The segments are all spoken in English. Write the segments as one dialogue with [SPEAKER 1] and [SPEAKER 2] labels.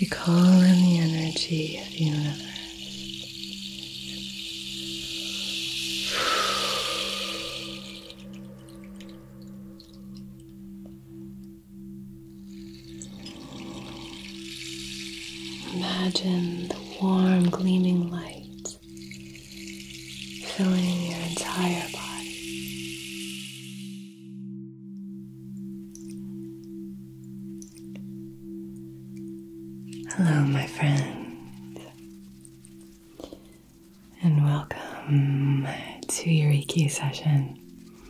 [SPEAKER 1] We call in the energy of the universe. Imagine the warm, gleaming light filling your entire body. Hello, my friend, and welcome to your Reiki session.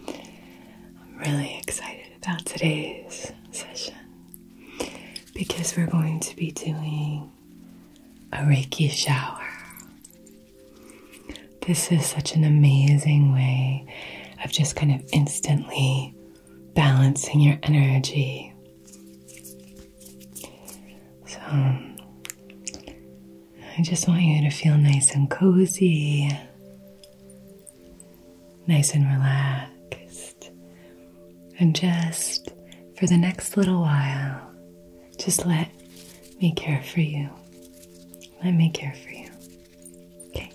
[SPEAKER 1] I'm really excited about today's session because we're going to be doing a Reiki shower. This is such an amazing way of just kind of instantly balancing your energy. So, I just want you to feel nice and cozy, nice and relaxed, and just for the next little while, just let me care for you. Let me care for you. Okay.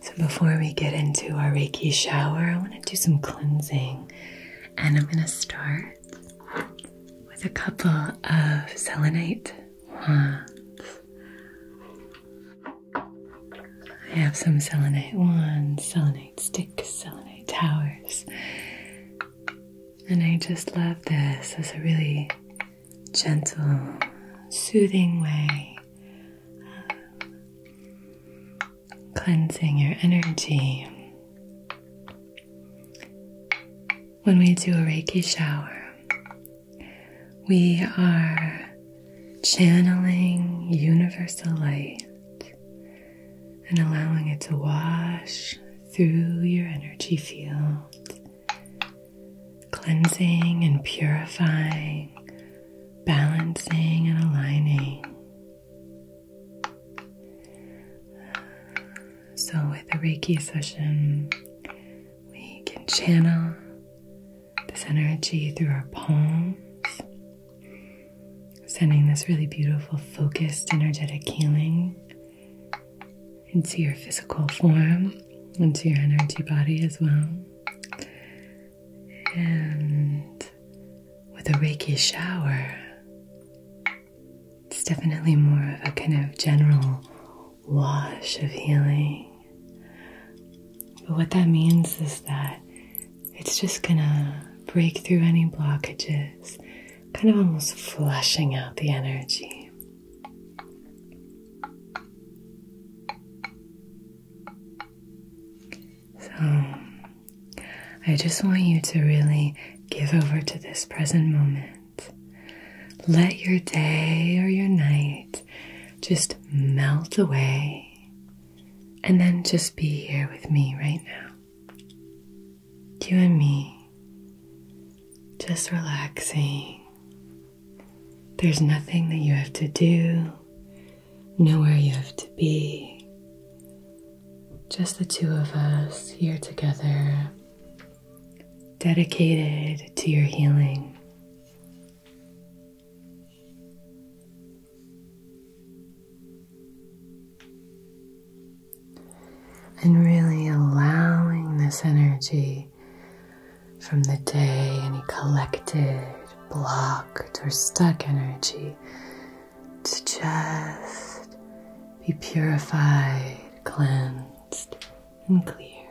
[SPEAKER 1] So before we get into our Reiki shower, I want to do some cleansing. And I'm going to start with a couple of selenite ones. I have some selenite ones, selenite sticks, selenite towers. And I just love this as a really gentle, soothing way of cleansing your energy. When we do a Reiki shower, we are channeling universal light and allowing it to wash through your energy field, cleansing and purifying, balancing and aligning. So, with a Reiki session, we can channel this energy through our palms sending this really beautiful, focused, energetic healing into your physical form, into your energy body as well. And with a Reiki shower, it's definitely more of a kind of general wash of healing. But what that means is that it's just gonna break through any blockages, kind of almost flushing out the energy. So, I just want you to really give over to this present moment. Let your day or your night just melt away, and then just be here with me right now you and me just relaxing. There's nothing that you have to do, nowhere you have to be. Just the two of us here together, dedicated to your healing. And really allowing this energy from the day, any collected, blocked, or stuck energy to just be purified, cleansed, and cleared.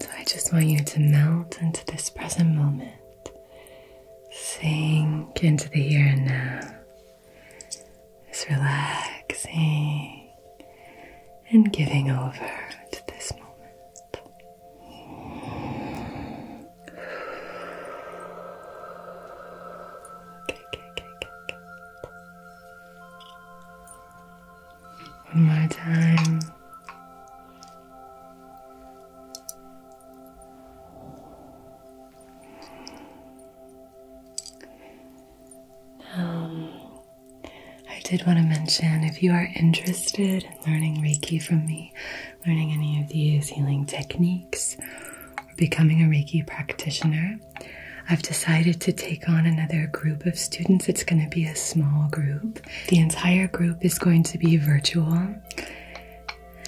[SPEAKER 1] So I just want you to melt into this present moment. Sink into the here and now. Just relaxing and giving over to this moment. Okay, okay, One more time. Um, I did want to mention if you are interested in learning Reiki from me, learning any of these healing techniques, or becoming a Reiki practitioner, I've decided to take on another group of students. It's going to be a small group. The entire group is going to be virtual.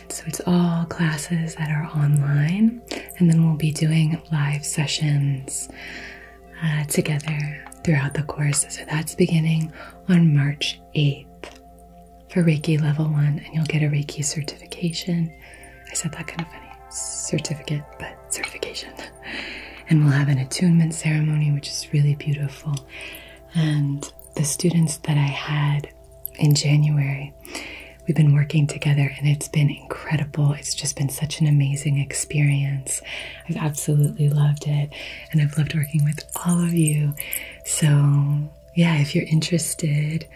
[SPEAKER 1] So it's all classes that are online, and then we'll be doing live sessions uh, together throughout the course. So that's beginning on March 8th for Reiki level one, and you'll get a Reiki certification. I said that kind of funny certificate, but certification. And we'll have an attunement ceremony, which is really beautiful. And the students that I had in January, we've been working together and it's been incredible. It's just been such an amazing experience. I've absolutely loved it. And I've loved working with all of you. So, yeah, if you're interested,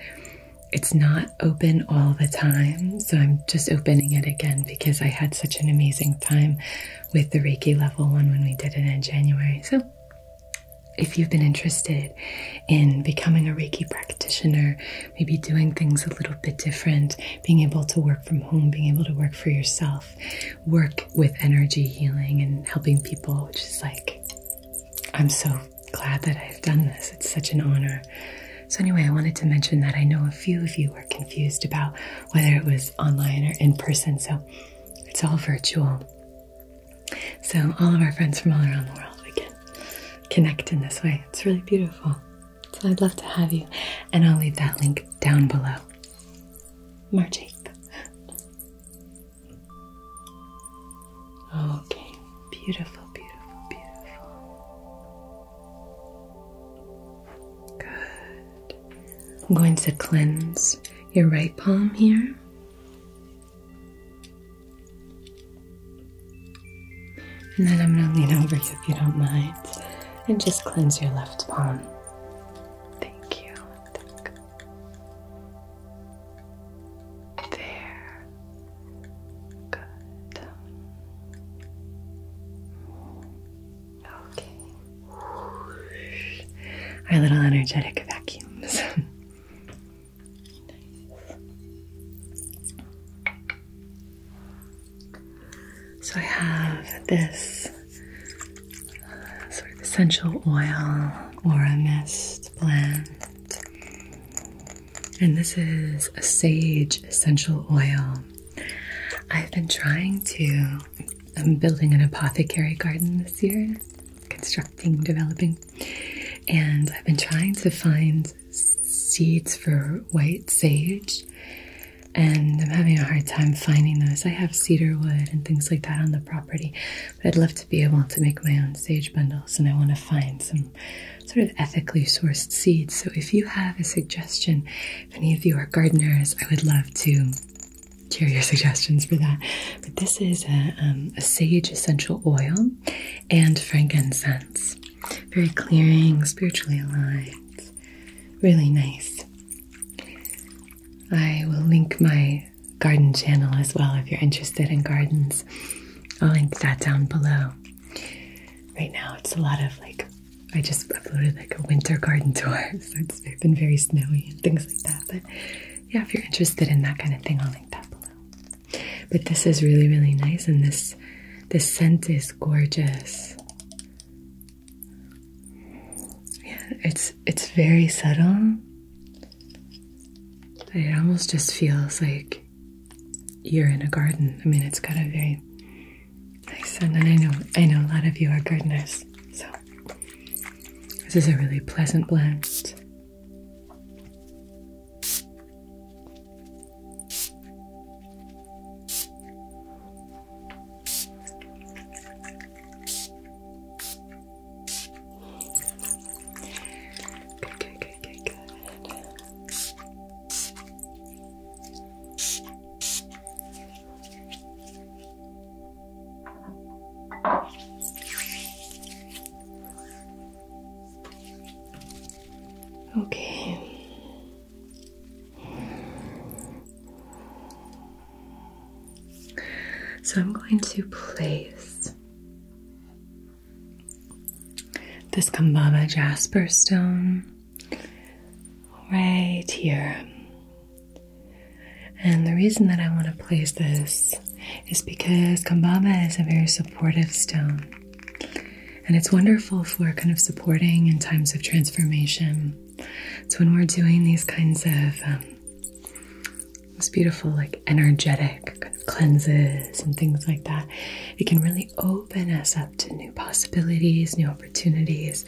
[SPEAKER 1] it's not open all the time. So, I'm just opening it again because I had such an amazing time with the Reiki level one when we did it in January. So, if you've been interested in becoming a Reiki practitioner, maybe doing things a little bit different, being able to work from home, being able to work for yourself, work with energy healing and helping people, which is like, I'm so glad that I've done this. It's such an honor. So, anyway, I wanted to mention that I know a few of you are confused about whether it was online or in person, so it's all virtual. So, all of our friends from all around the world, we can connect in this way. It's really beautiful. So, I'd love to have you, and I'll leave that link down below. March 8th. Okay, beautiful, beautiful, beautiful. Good. I'm going to cleanse your right palm here. And then I'm going to lean over you if you don't mind and just cleanse your left palm. Thank you. Thank you. There. Good. Okay. Our little energetic vacuums. So I have this sort of essential oil or a mist blend. And this is a sage essential oil. I've been trying to, I'm building an apothecary garden this year, constructing, developing, and I've been trying to find seeds for white sage. And I'm having a hard time finding those. I have cedar wood and things like that on the property. But I'd love to be able to make my own sage bundles and I want to find some sort of ethically sourced seeds. So if you have a suggestion, if any of you are gardeners, I would love to share your suggestions for that. But this is a, um, a sage essential oil and frankincense. Very clearing, spiritually aligned, really nice. I will link my garden channel as well if you're interested in gardens. I'll link that down below. Right now, it's a lot of like, I just uploaded like a winter garden tour, so it's been very snowy and things like that. But yeah, if you're interested in that kind of thing, I'll link that below. But this is really, really nice, and this this scent is gorgeous. Yeah, it's it's very subtle. It almost just feels like you're in a garden. I mean, it's got a very nice scent, and I know I know a lot of you are gardeners, so this is a really pleasant blend. Good, good, good, good, good. Okay. So I'm going to place this Kambama jasper stone right here. And the reason that I want to place this is because Kambama is a very supportive stone. And it's wonderful for kind of supporting in times of transformation. So when we're doing these kinds of um, beautiful, like energetic cleanses and things like that, it can really open us up to new possibilities, new opportunities.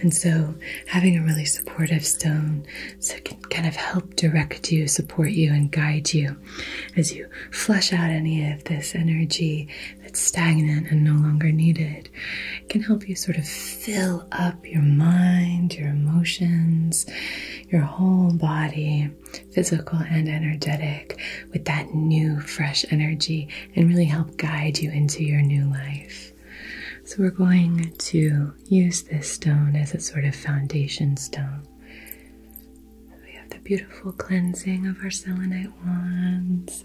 [SPEAKER 1] And so having a really supportive stone so it can kind of help direct you, support you, and guide you as you flush out any of this energy that's stagnant and no longer needed. It can help you sort of fill up your mind, your emotions, your whole body, physical and energetic, with that new, fresh energy and really help guide you into your new life. So, we're going to use this stone as a sort of foundation stone. we have the beautiful cleansing of our selenite wands,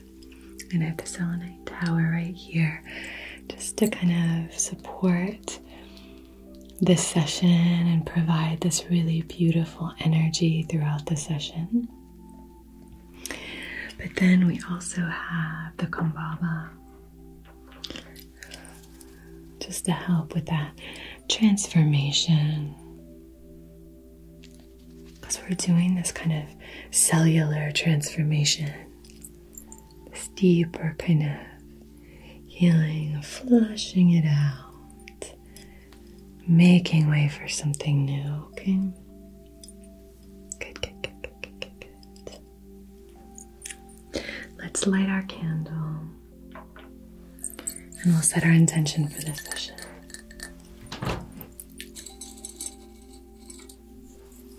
[SPEAKER 1] and I have the selenite tower right here just to kind of support this session and provide this really beautiful energy throughout the session. But then we also have the kombaba just to help with that transformation. Because we're doing this kind of cellular transformation this deeper kind of healing, flushing it out, making way for something new, okay? Good, good, good, good, good, good, Let's light our candle and we'll set our intention for this session.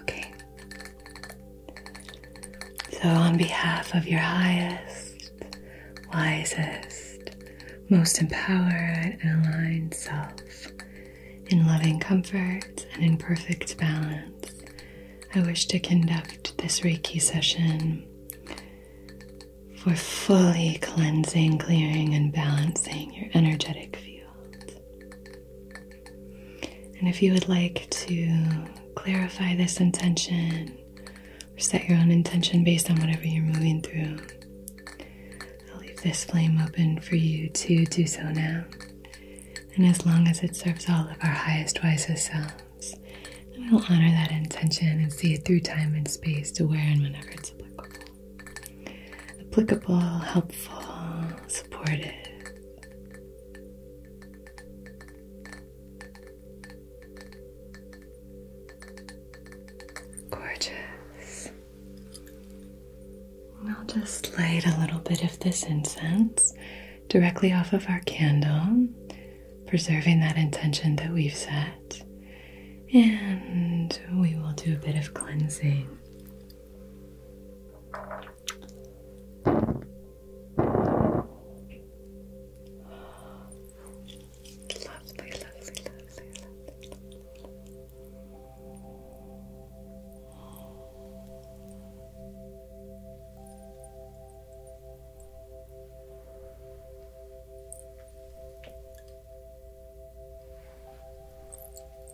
[SPEAKER 1] Okay. So, on behalf of your highest, wisest, most empowered, and aligned self, in loving comfort and in perfect balance, I wish to conduct this Reiki session for fully cleansing, clearing, and balancing your energetic field. And if you would like to clarify this intention or set your own intention based on whatever you're moving through, I'll leave this flame open for you to do so now. And as long as it serves all of our highest, wisest selves, then we'll honor that intention and see it through time and space to where and whenever it's applicable. Applicable, helpful, supportive, Gorgeous. And I'll just light a little bit of this incense directly off of our candle, preserving that intention that we've set. And we will do a bit of cleansing. Lovely, lovely, lovely, lovely.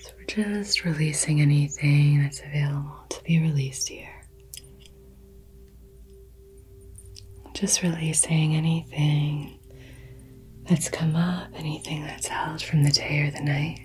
[SPEAKER 1] So we're just releasing anything that's available to be released here. Just releasing anything that's come up, anything that's held from the day or the night.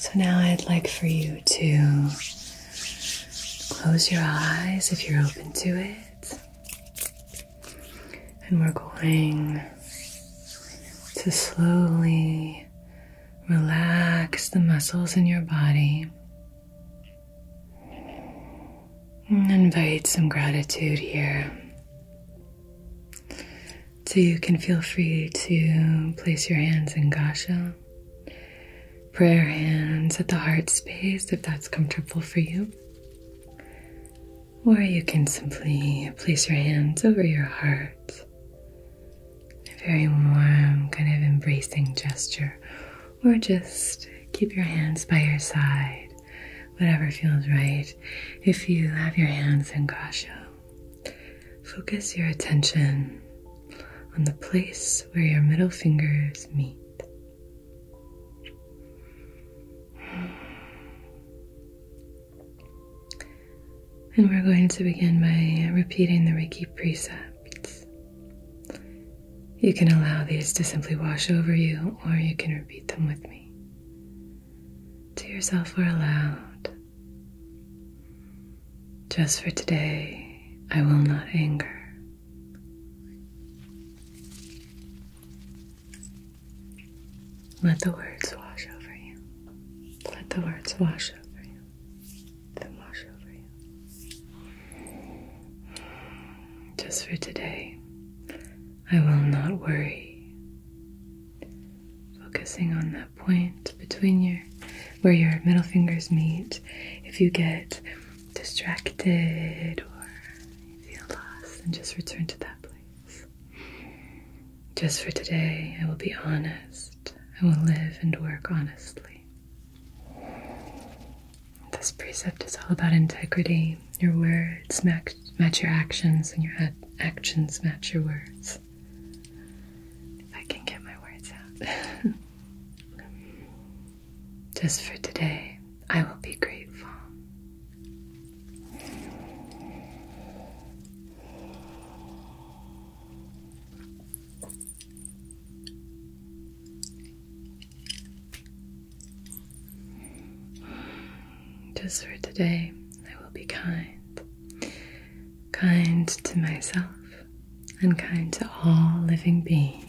[SPEAKER 1] So now I'd like for you to close your eyes if you're open to it. And we're going to slowly relax the muscles in your body Invite some gratitude here. So you can feel free to place your hands in Gasha, prayer hands at the heart space if that's comfortable for you. Or you can simply place your hands over your heart. A very warm, kind of embracing gesture or just keep your hands by your side, whatever feels right. If you have your hands in Grasha, focus your attention on the place where your middle fingers meet. And we're going to begin by repeating the Reiki precepts. You can allow these to simply wash over you, or you can repeat them with me. To yourself or aloud. Just for today, I will not anger. Let the words wash over you. Let the words wash over you. Then wash over you. Just for today, I will not worry. Focusing on that point between your where your middle fingers meet. If you get distracted or feel lost, then just return to that place. Just for today, I will be honest. I will live and work honestly. This precept is all about integrity. Your words match, your actions, and your actions match your words. If I can get my words out. Just for today, I will be grateful. Just for today, I will be kind. Kind to myself and kind to all living beings.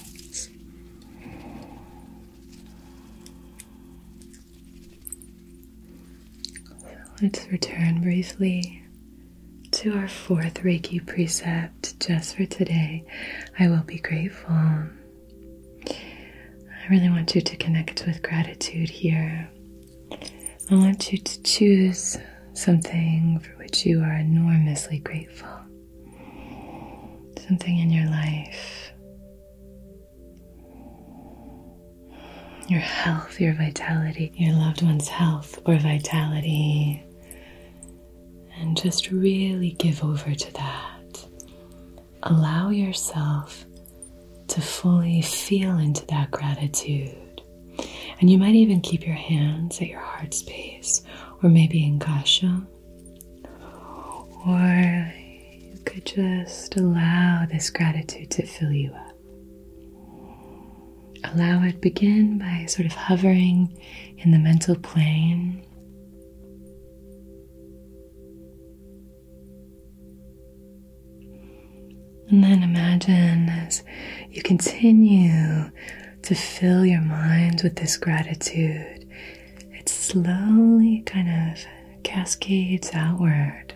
[SPEAKER 1] let's return briefly to our fourth Reiki preset just for today, I will be grateful. I really want you to connect with gratitude here. I want you to choose something for which you are enormously grateful, something in your life. Your health, your vitality, your loved one's health or vitality, and just really give over to that. Allow yourself to fully feel into that gratitude. And you might even keep your hands at your heart space, or maybe in kasha. Or you could just allow this gratitude to fill you up. Allow it begin by sort of hovering in the mental plane and then imagine as you continue to fill your mind with this gratitude, it slowly kind of cascades outward.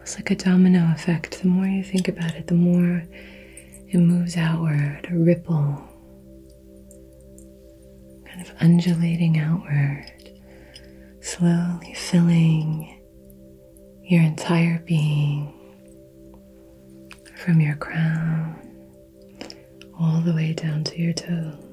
[SPEAKER 1] It's like a domino effect. The more you think about it, the more it moves outward, a ripple kind of undulating outward, slowly filling your entire being from your crown all the way down to your toes.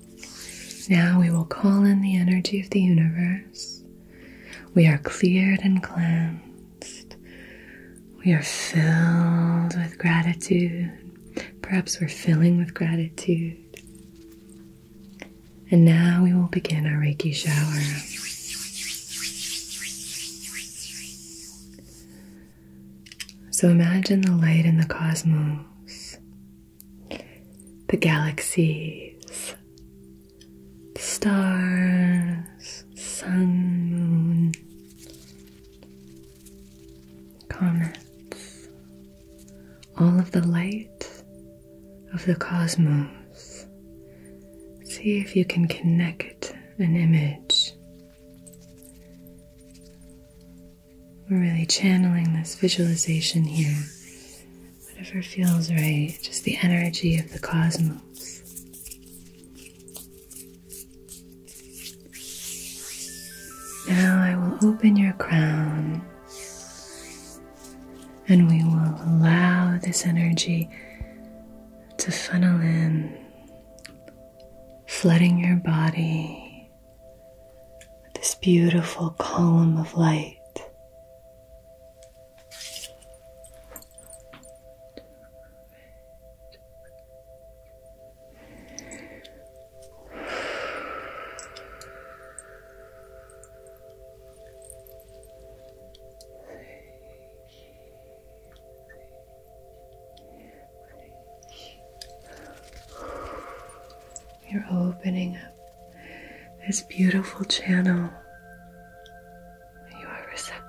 [SPEAKER 1] Now we will call in the energy of the universe. We are cleared and cleansed. We are filled with gratitude. Perhaps we're filling with gratitude. And now we will begin our Reiki shower. So imagine the light in the cosmos the galaxies, stars, sun, moon, comets, all of the light of the cosmos. See if you can connect an image. We're really channeling this visualization here whatever feels right, just the energy of the cosmos. Now I will open your crown and we will allow this energy to funnel in, flooding your body with this beautiful column of light. You're opening up this beautiful channel. You are receptive.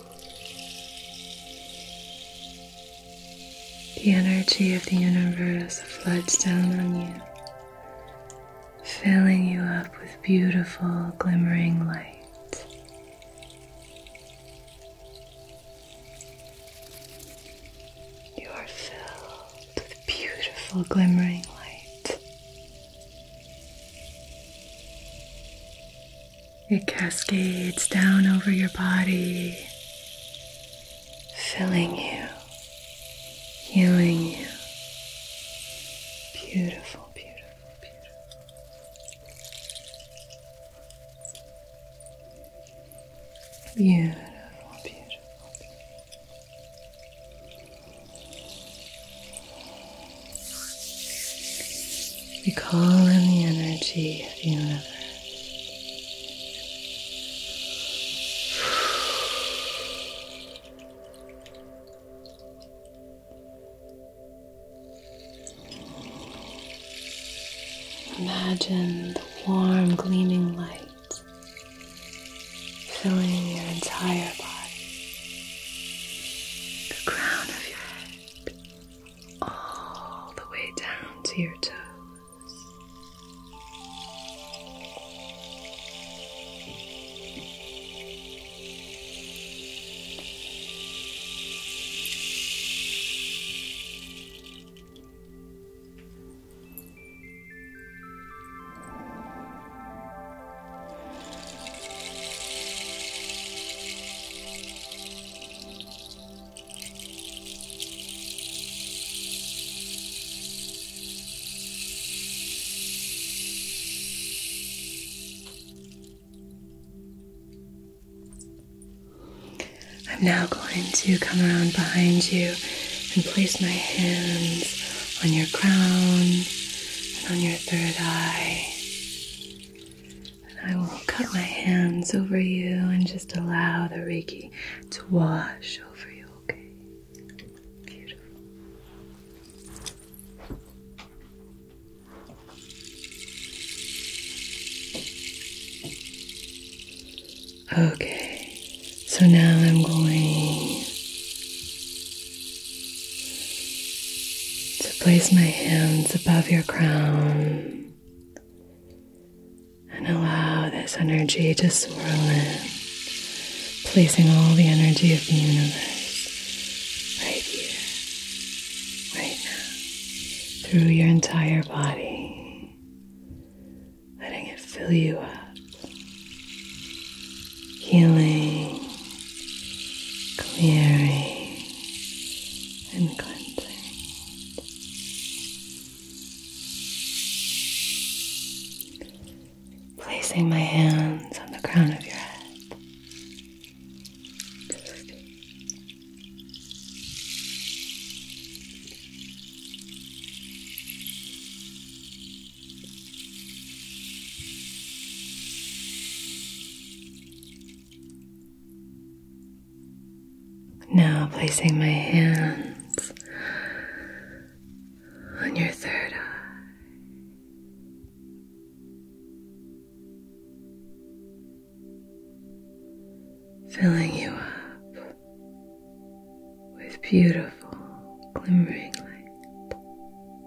[SPEAKER 1] The energy of the universe floods down on you, filling you up with beautiful, glimmering light. You are filled with beautiful, glimmering light. It cascades down over your body, filling you, healing you. Beautiful, beautiful, beautiful. Beautiful, beautiful. We call in the energy of the universe. Imagine the warm, gleaming light filling your entire body, the crown of your head all the way down to your toes. I'm now going to come around behind you and place my hands on your crown and on your third eye. And I will cut my hands over you and just allow the Reiki to wash over you, okay? Beautiful. Okay, so now I'm going to place my hands above your crown and allow this energy to swirl in, placing all the energy of the universe right here, right now, through your entire body, letting it fill you up healing, clearing, and cleansing. Placing my hands on the crown of your head. Now, placing my hands on your third eye. Filling you up with beautiful, glimmering light.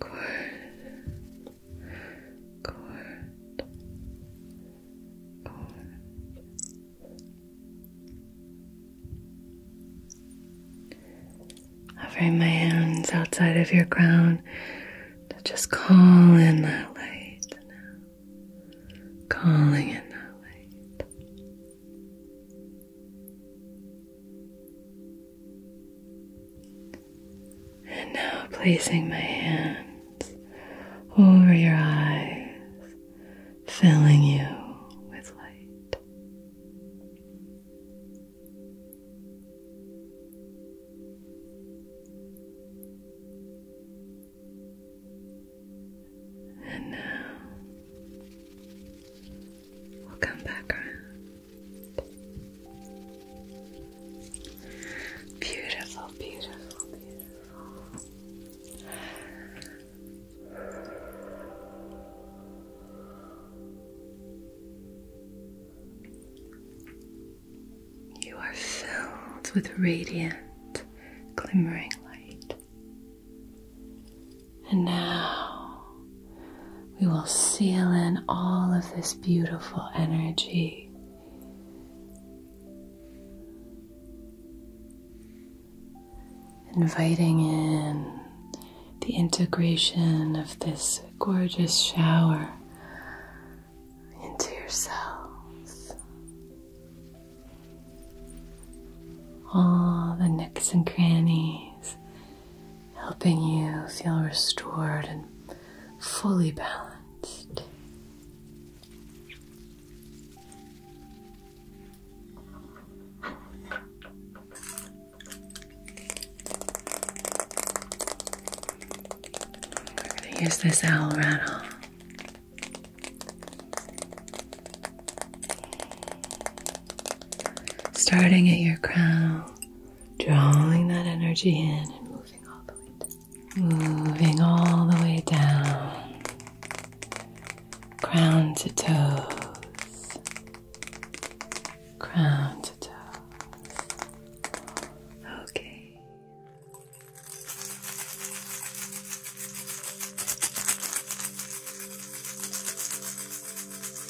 [SPEAKER 1] Good. my hands outside of your crown to just call in that light Calling in that light. And now placing my hands over your eyes, filling you with light. And now we'll come back around. Beautiful, beautiful, beautiful. You are filled with radiant, glimmering light. And now we will seal in all of this beautiful energy. Inviting in the integration of this gorgeous shower into yourselves. All the nooks and crannies helping you feel restored and fully balanced. We're going to use this owl rattle. Starting at your crown, drawing that energy in and moving all the way down. Moving all the way down, crown to toes, crown to toes. Okay.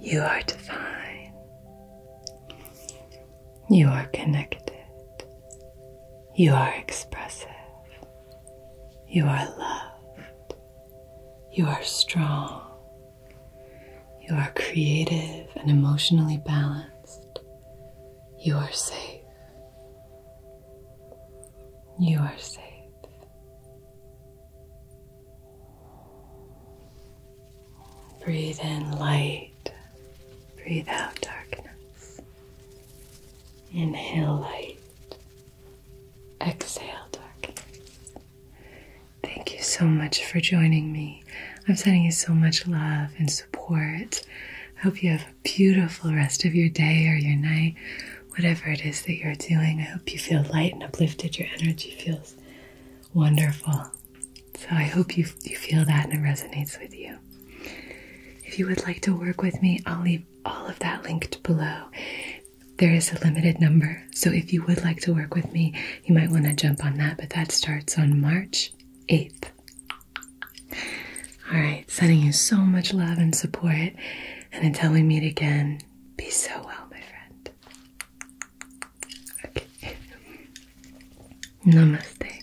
[SPEAKER 1] You are divine. You are connected. You are expressive. You are loved. You are strong. You are creative and emotionally balanced. You are safe. You are safe. Breathe in light, breathe out darkness. Inhale light, Exhale, dark. Thank you so much for joining me. I'm sending you so much love and support. I hope you have a beautiful rest of your day or your night, whatever it is that you're doing. I hope you feel light and uplifted. Your energy feels wonderful. So I hope you, you feel that and it resonates with you. If you would like to work with me, I'll leave all of that linked below. There is a limited number, so if you would like to work with me, you might want to jump on that, but that starts on March 8th. All right, sending you so much love and support, and until we meet again, be so well, my friend. Namaste.